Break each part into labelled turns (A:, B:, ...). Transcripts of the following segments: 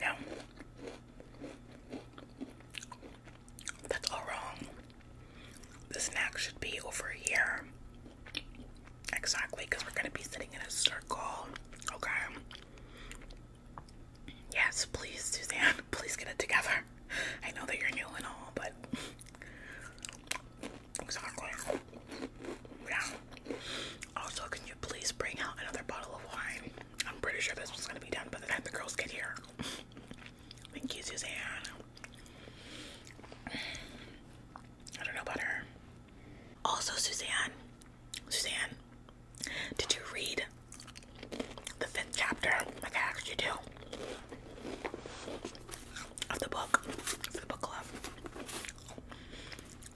A: Now, that's all wrong. The snack should be over here. Exactly, because we're going to be sitting in a circle. Okay. Yes, please, Suzanne, please get it together. I know that you're new and all, but Exactly. Yeah. Also, can you please bring out another bottle of wine? I'm pretty sure this was gonna be done by the time the girls get here. Thank you, Suzanne. I don't know about her. Also, Suzanne, Suzanne, did you read the fifth chapter? Like I you do of the book, for the book club.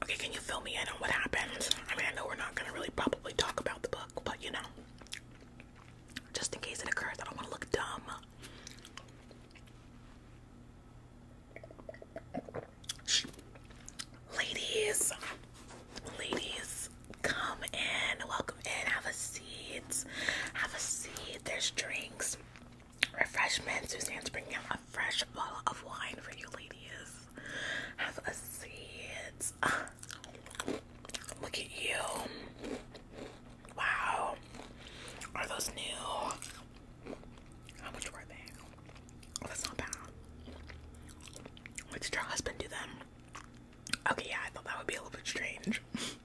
A: Okay, can you fill me in on what happened? I mean, I know we're not gonna really probably talk about the book, but you know, just in case it occurs, I don't want to look dumb. Ladies, ladies, come in, welcome in, have a seat, have a seat. There's drinks, refreshment. Suzanne's bringing out a fresh bottle of wine for you ladies. Have a seat. Look at you. Wow. Are those new? How much were they? that's not bad. Wait, did your husband do them? Okay, yeah, I thought that would be a little bit strange.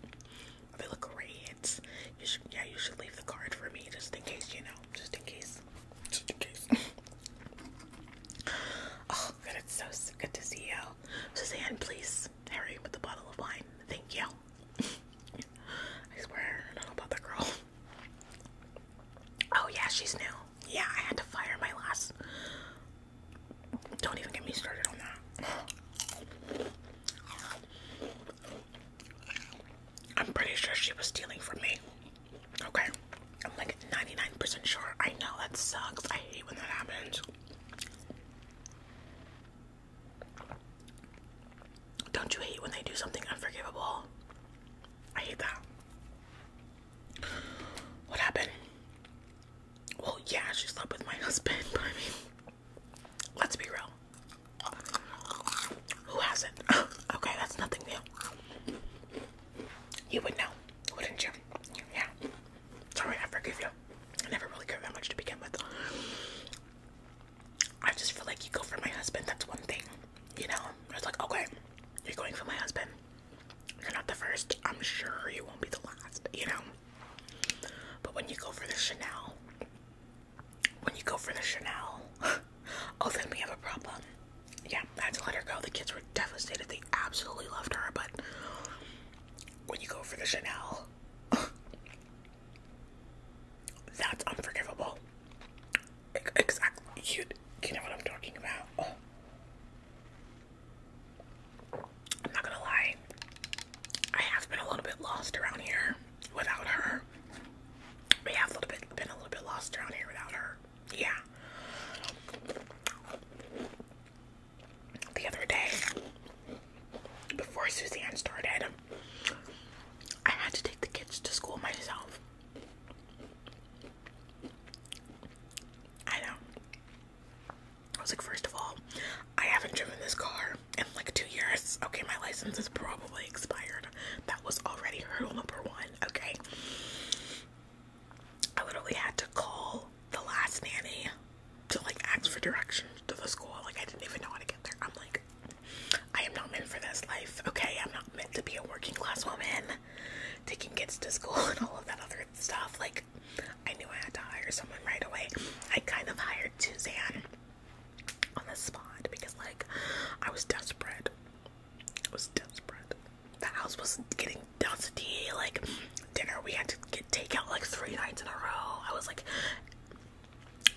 A: they look yeah, you should leave the card for me just in case, you know, just in case, just in case. oh, good, it's so, good to see you, Suzanne. Please, Harry, with the bottle of wine. Thank you. I swear, about the girl. Oh yeah, she's new. Yeah, I had to fire my last. Don't even get me started on that. I'm pretty sure she was stealing from me. Okay. I'm like 99% sure. I know that sucks. I hate when that happens. Don't you hate when they do something unforgivable? I hate that. What happened? Well, yeah, she slept with my husband, I mean, Let's be real. Who has it? okay, that's nothing new. You would know, wouldn't you? Yeah. Sorry, I forgive you. I never really cared that much to begin with. I just feel like you go for my husband, that's one thing. You know? I was like, okay, you're going for my husband. You're not the first. I'm sure you won't be the last, you know? But when you go for the Chanel, when you go for the Chanel, oh, then we have a problem. Yeah, I had to let her go. The kids were devastated. They absolutely loved her, but when you go for the Chanel, that's unforgivable. Exactly. You, you know what I'm talking about. I'm not gonna lie, I have been a little bit lost around here without her. We have a little bit been a little bit lost around here without her. Yeah. The other day, before Suzanne started, I had to take the kids to school myself. I know. I was like, first of all, I haven't driven this car in like two years. Okay, my license is probably expired. That was already hurdle number one. Okay. I literally had to call the last nanny to like ask for directions to the school. Like, I didn't even know how to get there. I'm like, I am not meant for this life. Okay, I'm not meant to be a working class woman taking kids to school and all of that other stuff. Like, I knew I had to hire someone right away. I kind of hired Suzanne on the spot because like I was desperate. I was desperate. The house was getting dusty, like dinner we had to get takeout like three nights in a row. I was like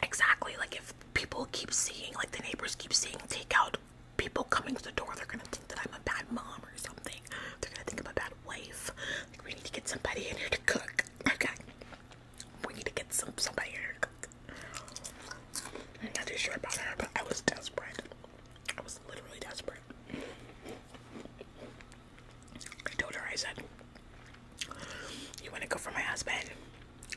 A: exactly like if people keep seeing like the neighbors keep seeing takeout people coming to the door, they're gonna think that I'm a bad mom or something. They're gonna think I'm a bad wife. Like we need to get somebody in here to cook. Okay we need to get some somebody here I'm not too sure about her, but I was desperate. I was literally desperate. I told her, I said, You want to go for my husband?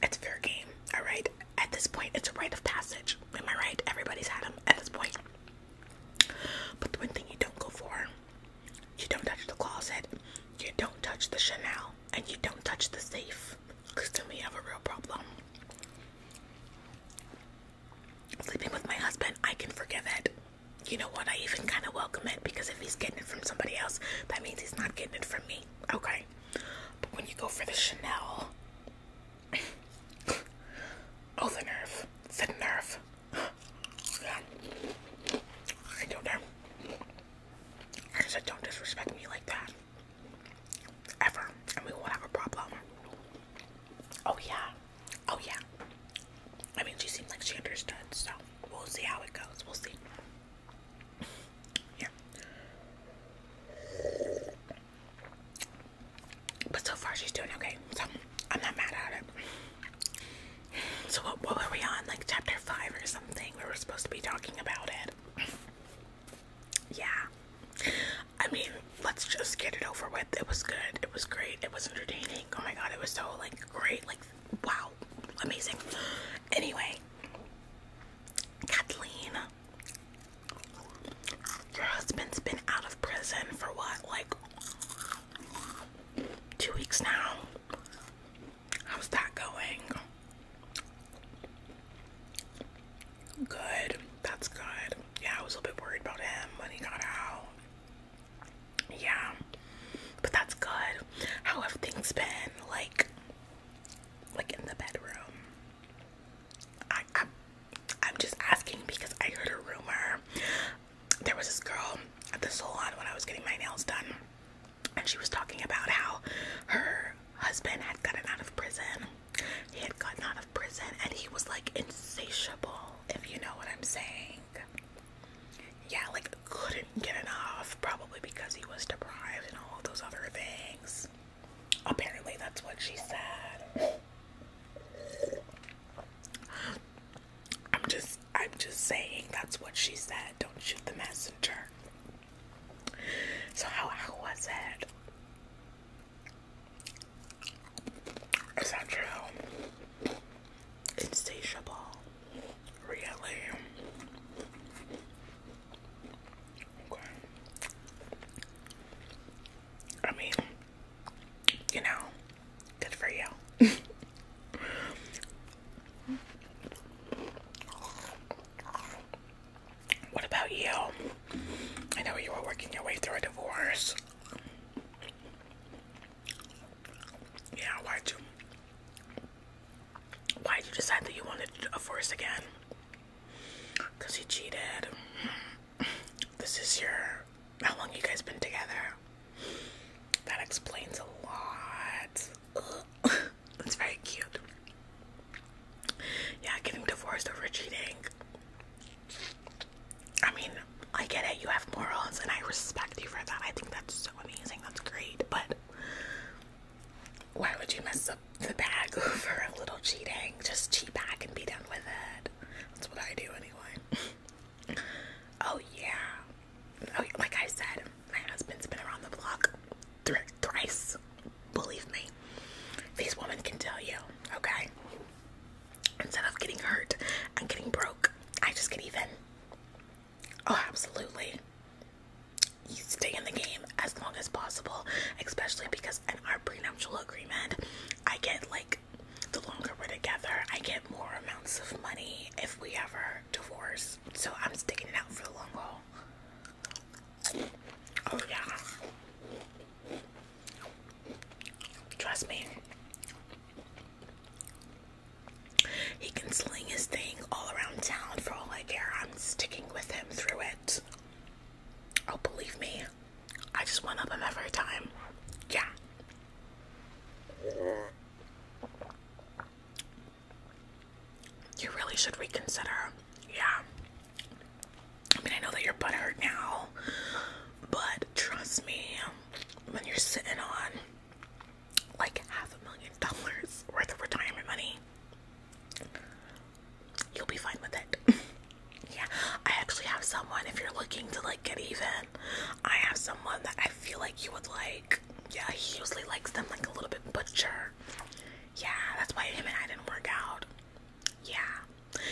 A: It's fair game, alright? At this point, it's a rite of passage. Am I right? Everybody's had him at this point. But the one thing you don't go for you don't touch the closet. You don't touch the Chanel. And you don't touch the safe. Because then we have a real problem. Sleeping with my husband, I can forgive it. You know what? I even kind of welcome it because if he's getting it from somebody else, that means he's not getting it from me. Okay. But when you go for the Chanel. oh, the nerve. The nerve yeah. I don't know. I said, don't disrespect me like that. Ever. And we will have a problem. Oh, yeah. Oh, yeah. I mean, she seemed like she understood, so we'll see how it goes. We'll see. Yeah. But so far, she's doing okay. So I'm not mad at it. So what, what were we on? Like chapter five or something? We were supposed to be talking about it. Yeah. I mean, let's just get it over with. It was good. It was great. It was entertaining. Oh my god, it was so like great. Like wow, amazing. Anyway, Kathleen, your husband's been out of prison for what, like two weeks now. How's that going? Good. That's good. Yeah, I was a bit worried about him when he got out. Yeah. But that's good. How have things been like like in the bedroom? I, I I'm just asking because I heard a rumor there was this girl at the salon when I was getting my nails done, and she was talking about how her husband had gotten out of prison. He had gotten out of prison, and he was like insatiable, if you know what I'm saying. Yeah, like couldn't get enough, probably because he was deprived and all those other things. Apparently, that's what she said. I'm just I'm just saying that's what she said. Don't shoot the messenger. So how was it? Is that true? Insatiable. Really? Okay. I mean, you know, Good for you. what about you? I know you were working your way through a divorce. Yeah, why'd you? Why'd you decide that you wanted a divorce again? Because he cheated. This is your how long you guys been together. That explains a lot. That's very cute. Yeah, getting divorced over cheating. I mean, I get it. You have morals, and I respect you for that. I think that's so amazing. That's great. But why would you mess up the bag over a little cheating? Just cheat back and be done with it. That's what I do anyway. Oh, oh yeah. like I said, my husband's been around the block thr thrice. Believe me, these women can tell you. Okay. Instead of getting hurt and getting broke, I just get even. Oh, absolutely. You stay in the game as long as possible, especially because in our prenuptial agreement, I get like the longer we're together, I get more amounts of money if we ever divorce. So I'm sticking it out for the long haul. Oh, yeah. Trust me. He can sling his thing all around town for all I care. I'm sticking with him through it. Oh, believe me. I just one up him every time. Yeah. You really should reconsider. Yeah. I mean, I know that you're butthurt now, but trust me, when you're sitting on like half a million dollars worth of retirement money, you'll be fine with it. yeah, I actually have someone if you're looking to like get even I have someone that I feel like you would like. Yeah, he usually likes them like a little bit butcher. Yeah, that's why him and I didn't work out. Yeah,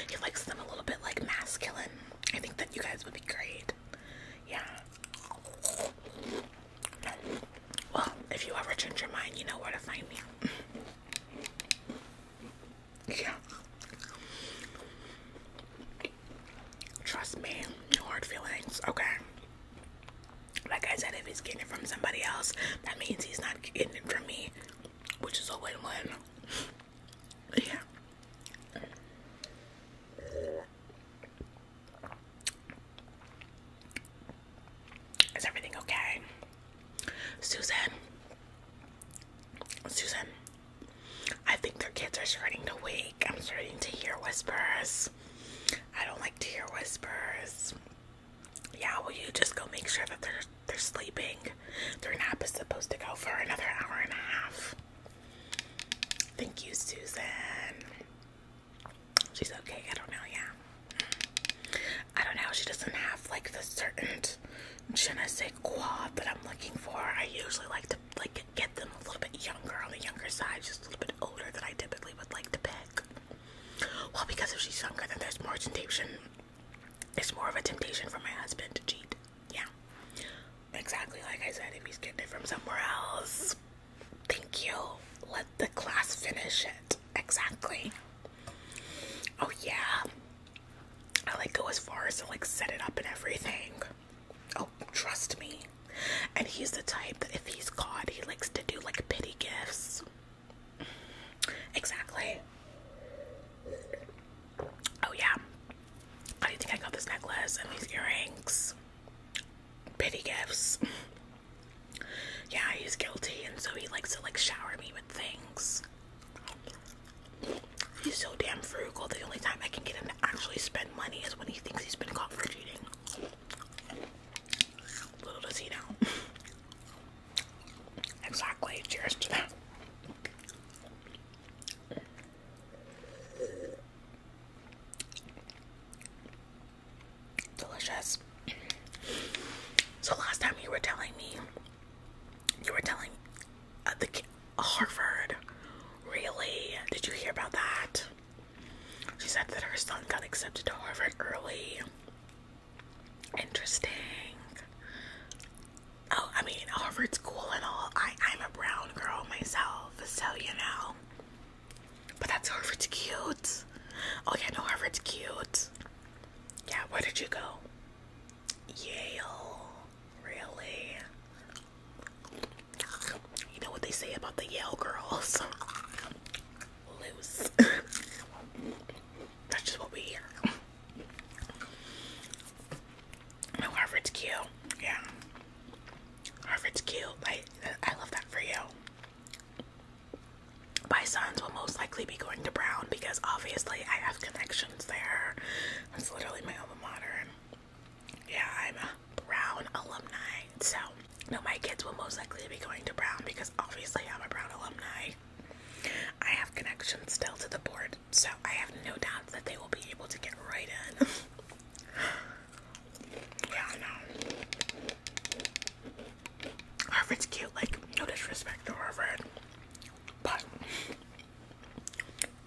A: he likes them a little bit like masculine. I think that you guys would be great. Yeah. Well, if you ever change your mind, you know where to find me. Yeah. Trust me, no hard feelings, okay? Like I said, if he's getting it from somebody else, that means he's not getting it from me, which is a win win. Yeah. Is everything okay? Susan, Susan, I think their kids are starting to wake. I'm starting to hear whispers. I don't like to hear whispers. Yeah, will you just go make sure that they're they're sleeping? Their nap is supposed to go for another hour and a half. Thank you, Susan. She's okay. I don't know. Yeah, I don't know. She doesn't have like the certain genetic quad that I'm looking for. I usually like to like get them a little bit younger on the younger side, just a little bit older than I typically would like to pick. Well, because if she's younger, then there's more temptation. It's more of a temptation for my husband to cheat. Yeah, exactly like I said. If he's getting it from somewhere else, thank you. Let the class finish it. Exactly. Oh yeah, I like go as far as to like set it up and everything. Oh, trust me. And he's the type that if he's caught, he likes to do like pity gifts. Exactly. Oh yeah. How do you think I got this necklace and these earrings? Pity gifts. Yeah, he's guilty and so he likes to like shower me with things. He's so damn frugal. The only time I can get him to actually spend money is when he thinks he's been caught for cheating. Little does he know. exactly. Cheers to that. Delicious. So last time you were telling me you were telling uh, the Harvard. Really? Did you hear about that? She said that her son got accepted to Harvard early. Interesting. Oh, I mean, Harvard's cool and all. I, I'm a brown girl myself, so you know. But that's Harvard's cute. Oh, yeah, no, Harvard's cute. Yeah, where did you go? Yale. Really? You know what they say about the Yale girls? Loose. That's just what we hear. No, Harvard's cute. Yeah. Harvard's cute. I, I love that for you. My sons will most likely be going to Brown because obviously I have connection Collins there. That's literally my alma mater. yeah, I'm a Brown alumni. So, no, my kids will most likely be going to Brown because obviously I'm a Brown alumni. I have connections still to the board, so I have no doubt that they will be able to get right in. yeah, I know. Harvard's cute, like, no disrespect to Harvard, but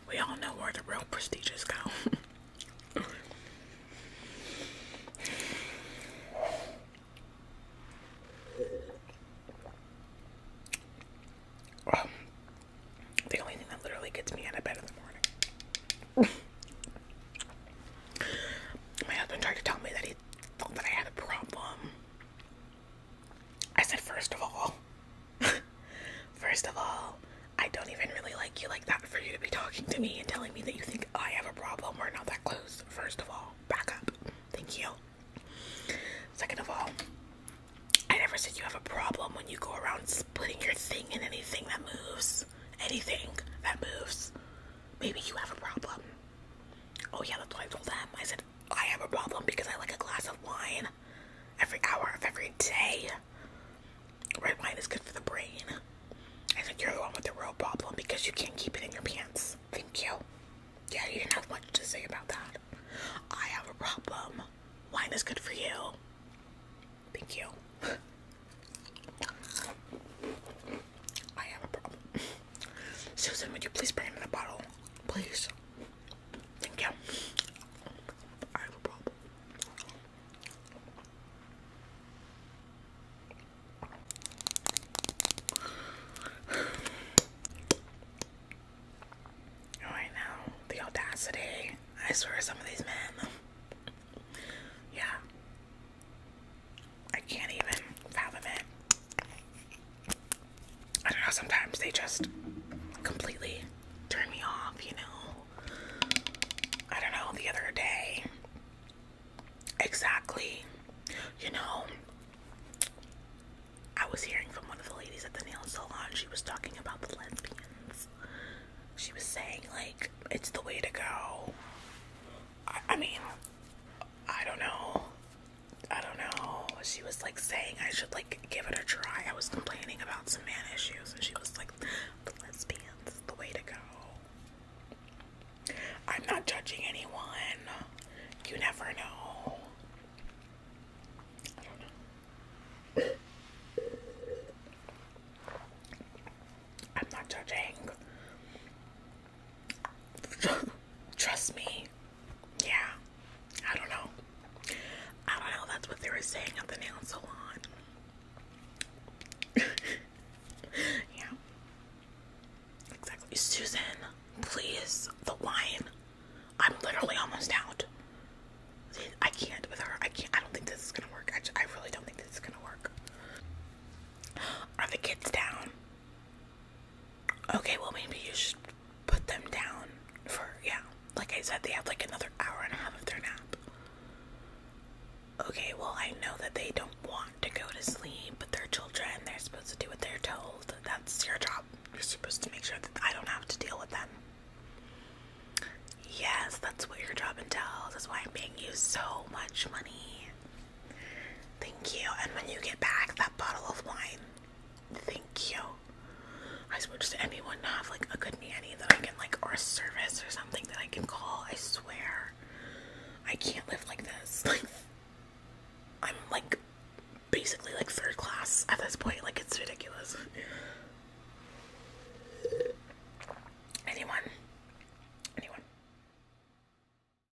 A: we all know where the real prestigious go. Well, the only thing that literally gets me out of bed in the morning. My husband tried to tell me that he thought that I had a problem. I said, first of all, first of all, I don't even really like you like that for you to be talking to me and telling me that you think I have a problem. We're not that close. First of all, back up. Thank you. Second of all, I never said you have a problem when you go around splitting your thing in anything that moves. Anything that moves. Maybe you have a problem. Oh, yeah, that's what I told them. I said, I have a problem because I like a glass of wine every hour of every day. Red wine is good for the brain. I think you're the one with the real problem because you can't keep it in your pants. Thank you. Yeah, you have much to say about that. I have a problem. Wine is good for you. Thank you. I have a problem. Susan, would you please bring me the bottle? Please. Thank you. I have a problem. Right oh, now, the audacity. I swear, some of these men. Yeah. I can't even fathom it. I don't know, sometimes they just completely turn me off, you know. I don't know, the other day. Exactly. You know, I was hearing from one of the ladies at the nail salon, she was talking about the lesbians. She was saying, like, it's the way to go. I, I mean, I don't know. I don't know. She was like saying I should like give it a try. I was complaining about some man issues, and she was like, "The lesbians is the way to go." I'm not judging anyone. You never know. I'm not judging. Trust me. Yeah. I don't know. I don't know. That's what they were saying at the nail salon. yeah. Exactly. Susan, please. The wine. I'm literally almost out. I can't with her. I can't. I don't think this is gonna work. I, really don't think this is gonna work. Are the kids down? Okay, well, maybe you should put them down for, yeah. Like I said, they have like another hour and a half of their nap. Okay, well, I know that they don't want to go to sleep, but they're children. They're supposed to do what they're told. That's your job. You're supposed to make sure that I don't have to deal with them. Yes, that's what your job entails. That's why I'm paying you so much money. Thank you. And when you get back that bottle of wine, thank you. I swear, does anyone to have like a good nanny that I can like, or a service or something that I can call? I swear, I can't live like this. Like, I'm like basically like third class at this point. Like, it's ridiculous. Anyone? Anyone?